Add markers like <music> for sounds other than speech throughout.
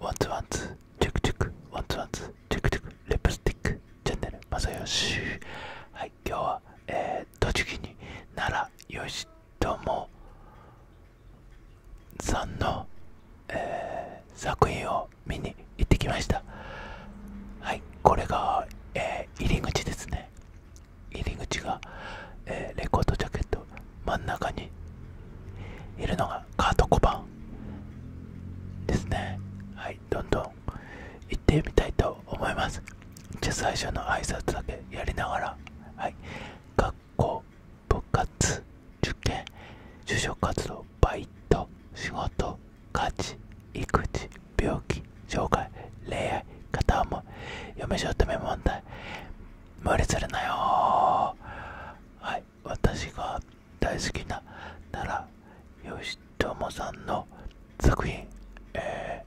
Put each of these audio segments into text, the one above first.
ワンツワンツチェクチェクワンツワンツチェクチェクレプスティックチャンネルまさよしはい今日はえ栃木に奈良義友さんの、え作品を見に行ってきましたはいこれが、え入り口ですね入り口が、えレコードジャケット真ん中にいるのがカート5番ですねはいどんどん行ってみたいと思いますじゃあ最初の挨拶だけやりながらはい学校部活受験就職活動バイト仕事価値、育児病気障害恋愛片思い嫁姑問題無理するなよはい私が大好きな奈良義智さんの作品、え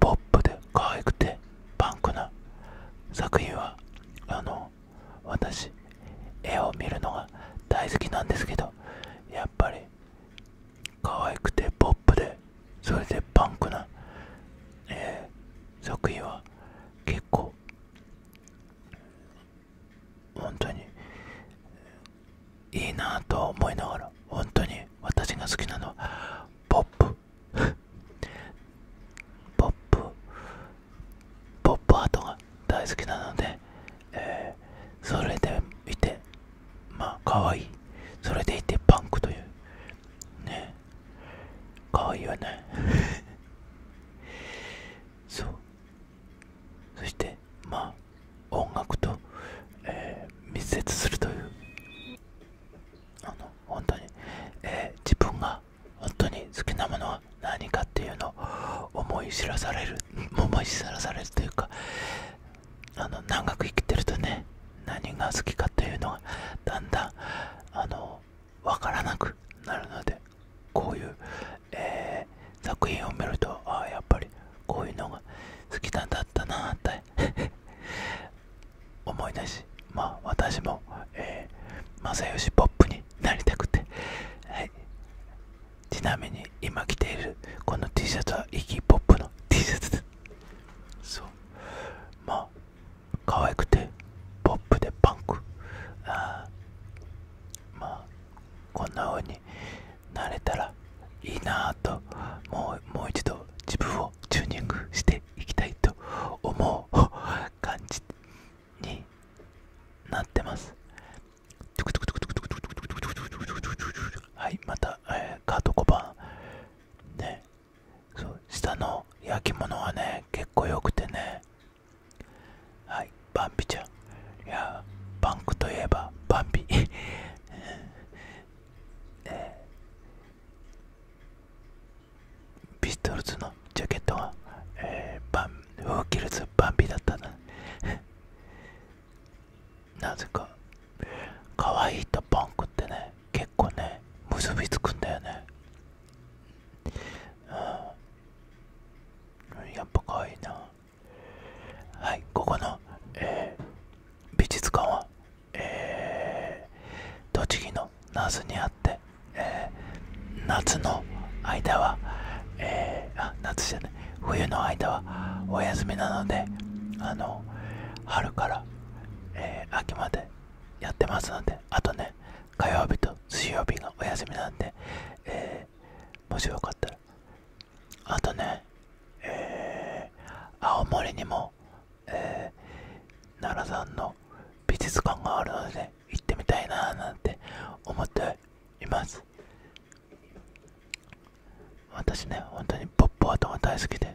ポップで可愛くてパンクな作品はあの私絵を見るのが大好きなんですけどやっぱり可愛くてポップでそれでパンクな、え作品は結構本当にいいなぁと思いながら本当に私が好きなのはポップポップポップアートが大好きなので、えそれでいてまあ可愛いそれでいてパンクというね可愛いよね <laughs> そうそしてまあ音楽と、え密接するというあの本当に、え自分が本当に好きなものは何かっていうのを思い知らされる <laughs> 思い知らされるというかあの長く生きてるとね何が好きかというのがだんだんあの分からなくなるのでこういう、え作品を見るとああやっぱりこういうのが好きなんだったなって <laughs> 思い出しまあ私も、えー、正義ポップになりたくて、ちなみに今着ているこの T シャツはイキーポップの T シャツですそうまあ可愛くてポップでパンクあまあこんな風になれたらいいなあともうも一度自分をチューニングしていきたいと思う <laughs> 感じになってますはいまた、えカート5番ねそう下の焼き物はね結構良くてねはいバンビちゃんいやバンクといえばバンビ <laughs> えー、ピストルズのジャケットが。えー、バンウーキルズバンビだったな <laughs> なぜか可愛いとバンクってね結構ね結びつくんだよねやっぱ可愛いなはいここの、美術館は、栃木の那須にあって、夏の間は、冬の間はお休みなので春から、秋までやってますのであとね火曜日と水曜日がお休みなんで、えー、もしよかったらあとね、えー、青森にも、えー、奈良山の美術館があるので、ね、行ってみたいななんて思っています私ね本当にポッポアートが大好きで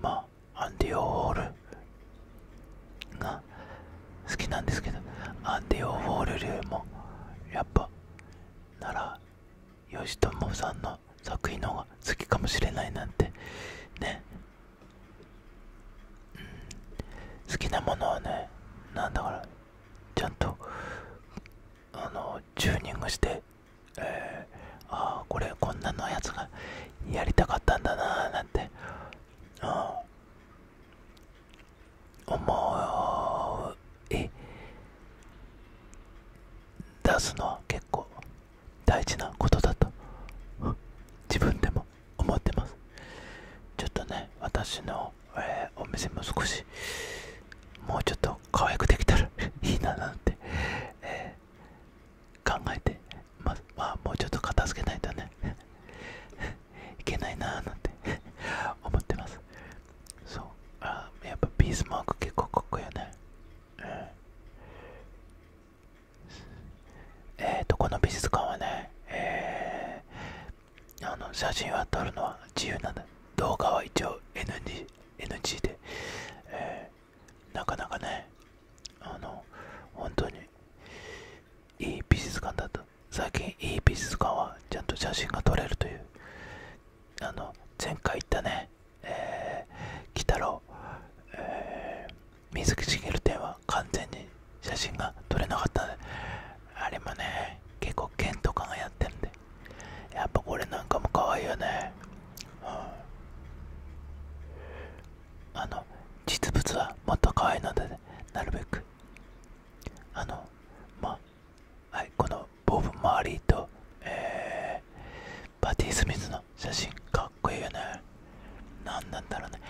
まあアンディ・オールが好きなんですけどアンディ・オフォール流もやっぱならよしともさんの作品の方が好きかもしれないなんてね、う好きなものはね何だからちゃんとあのチューニングしてえー、ああこれこんなのやつがやりたかったんだなーなんてあ思い出すのは結構大事なことだと自分でも思ってますちょっとね私の、えお店も少しもうちょっと可愛くできたらいいななんて、えー、考えてまあもうちょっと片付けないとね <laughs> いけないなーなんて <laughs> 思ってますそうあやっぱビースマーク結構かっこいいよねうえーとこの美術館はねえー、あの写真は撮るのは自由なん動画は一応 NG, NG で、えー、なかなかねあの本当にいい美術館だった最近いい美術館はちゃんと写真が撮れるというあの前回行ったねえ鬼太郎、え水木しげる展は完全に写真が撮れなかったあれもね結構県とかがやってるんでやっぱこれなんかも可愛いよね、うん、あの実物はもっと可愛いので、なるべくあのまあはいこのボブ・マーリーと、えー、パティ・スミスの写真かっこいいよね何なんだろうね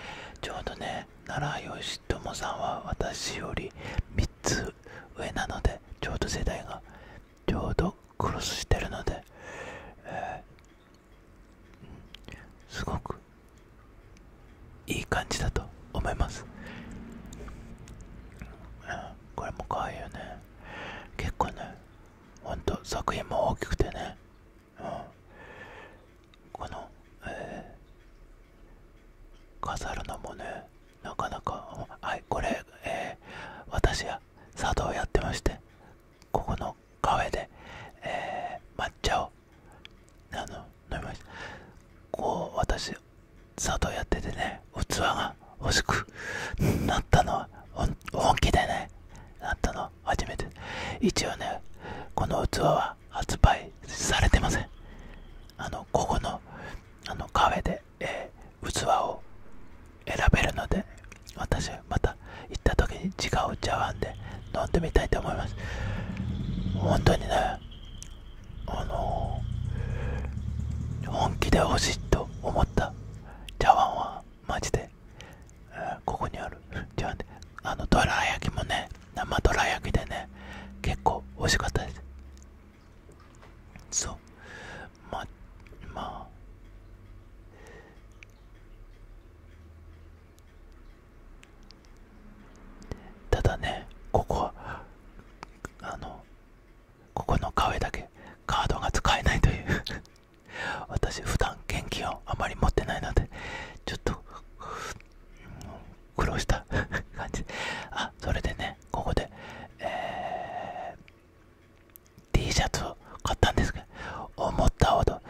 ちょうどね奈良義友さんは私より3つ上なのでちょうど世代がちょうどクロスしてるので、えすごくいい感じだと思いますこれも可愛いよね結構ねほんと作品も大きくてね、この、飾るのもねなかなかはいこれ、私や茶道をやってましてここのカフェで、抹茶をあの飲みましたこう私佐藤やっててね器が欲しくなったのは本気でねなったの初めて一応ねこの器は発売されてませんあのここのあのカフェで、え器を選べるので私また行った時に違う茶碗で飲んでみたいと思います本当にねあの本気で欲しいと思った茶碗はマジで、えここにある茶碗であのドラ焼きもね生ドラ焼きでね結構美味しかったですそうままあただねここはあのここの壁だけカードが使えないという <laughs> 私普段現金をあまり持ってないのでちょっと、苦労した <laughs> 感じあそれでねここで、え T シャツを買ったんですけど思ったほど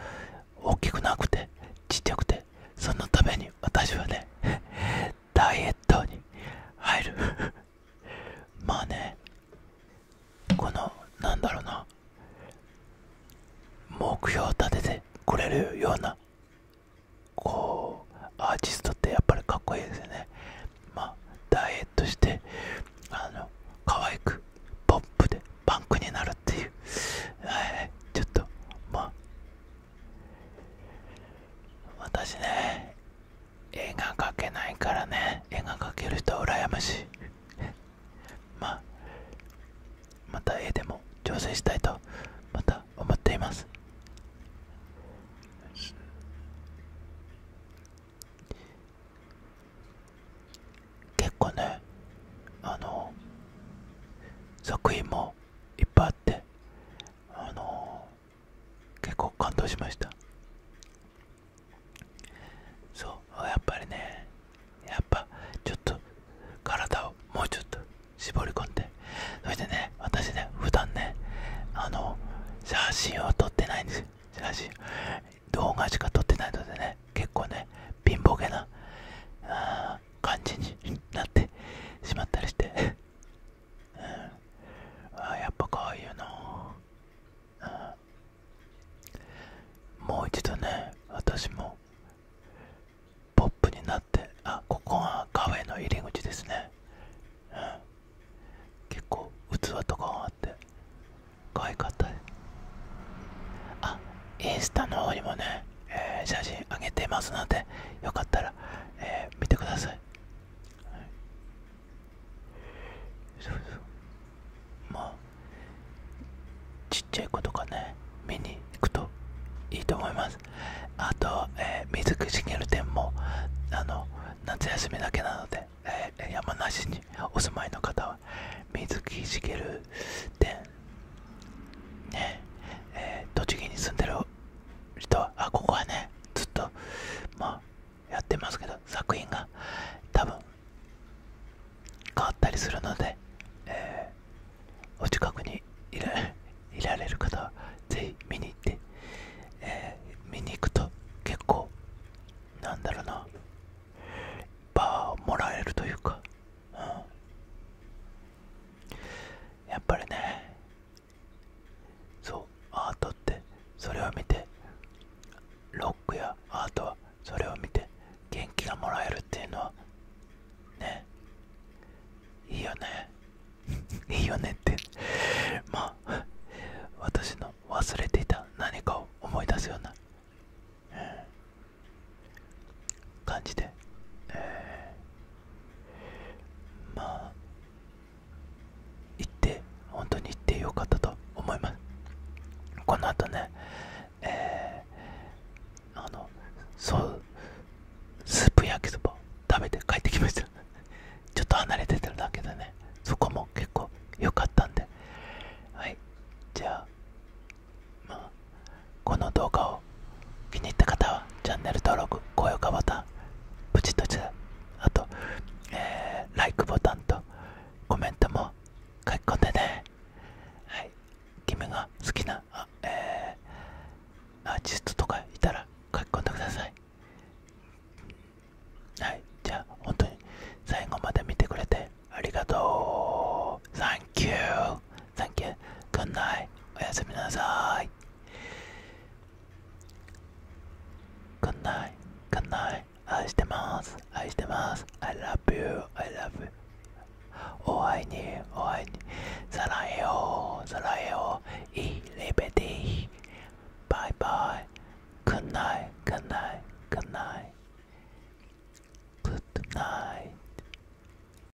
大きくなくてちっちゃくてそのために私はね <laughs> ダイエットに入る <laughs> まあねこのなんだろうな目標を立ててくれるようなこうアーティストってやっぱりかっこいいですよねまあダイエットしてあの可愛くポップでパンクになるっていうはいちょっとまあ私ね絵が描けないからね絵が描ける人は羨ましい <laughs> まあまた絵でも調整したいとまた思っています結構ねあの作品もいっぱいあってあの結構感動しましたそうやっぱりねやっぱちょっと体をもうちょっと絞り込んでそしてね私ね普段ねあの写真を撮ってないんです写真動画しか撮ってないのでね結構ね貧乏げな感じになってしまったりしてうんあやっぱこういよな。うん、もう一度ね私もポップになってあここはカフェの入り口ですね、結構器とかがあって可愛かったあインスタの方にもねえ写真あげてますのでよかったら、え見てください、はうまあちっちゃい子とかね見に行くといいと思いますあと、え水木しげる展もあの夏休みだけなので、え山梨にお住まいの方は水木しげる展ねえ栃木に住んでる人はあここはねずっとまあやってますけど作品が多分変わったりするので、えお近くにいら <laughs> いられる方はぜひ見に行って、え見に行くと結構なんだろうなパワーをもらえるというか、うん、やっぱりねそうアートってそれを見てロックやアートはそれを見て元気がもらえるっていうのはねいいよね <laughs> いいよねって <laughs> まあ私の忘れていた何かを思い出すような、うん、感じで、えまあ行って本当に行ってよかったと思いますこの後ね、えあのそうスープ焼きそば食べて帰ってきました <laughs> ちょっと離れててるだけでねそこも結構良かったんではいじゃあまあ、この動画を気に入った方はチャンネル登録、高評価ボタン、プチッとたあと、えー、ライクボタンとコメントも書き込んでね。はい、君が好きなあ、えー、アーティストとかいたら書き込んでください。はい、じゃあ本当に最後まで見てくれてありがとう。Thank you! う。Thank you. Good night. おやすみなさい。Good night. Good night. 愛してます。愛してます。I love you. I love you. お会いに、お会いに。さらえよう、さらえよう。いいレベティ。バイバイ。Good night. Good night. Good night. Good night.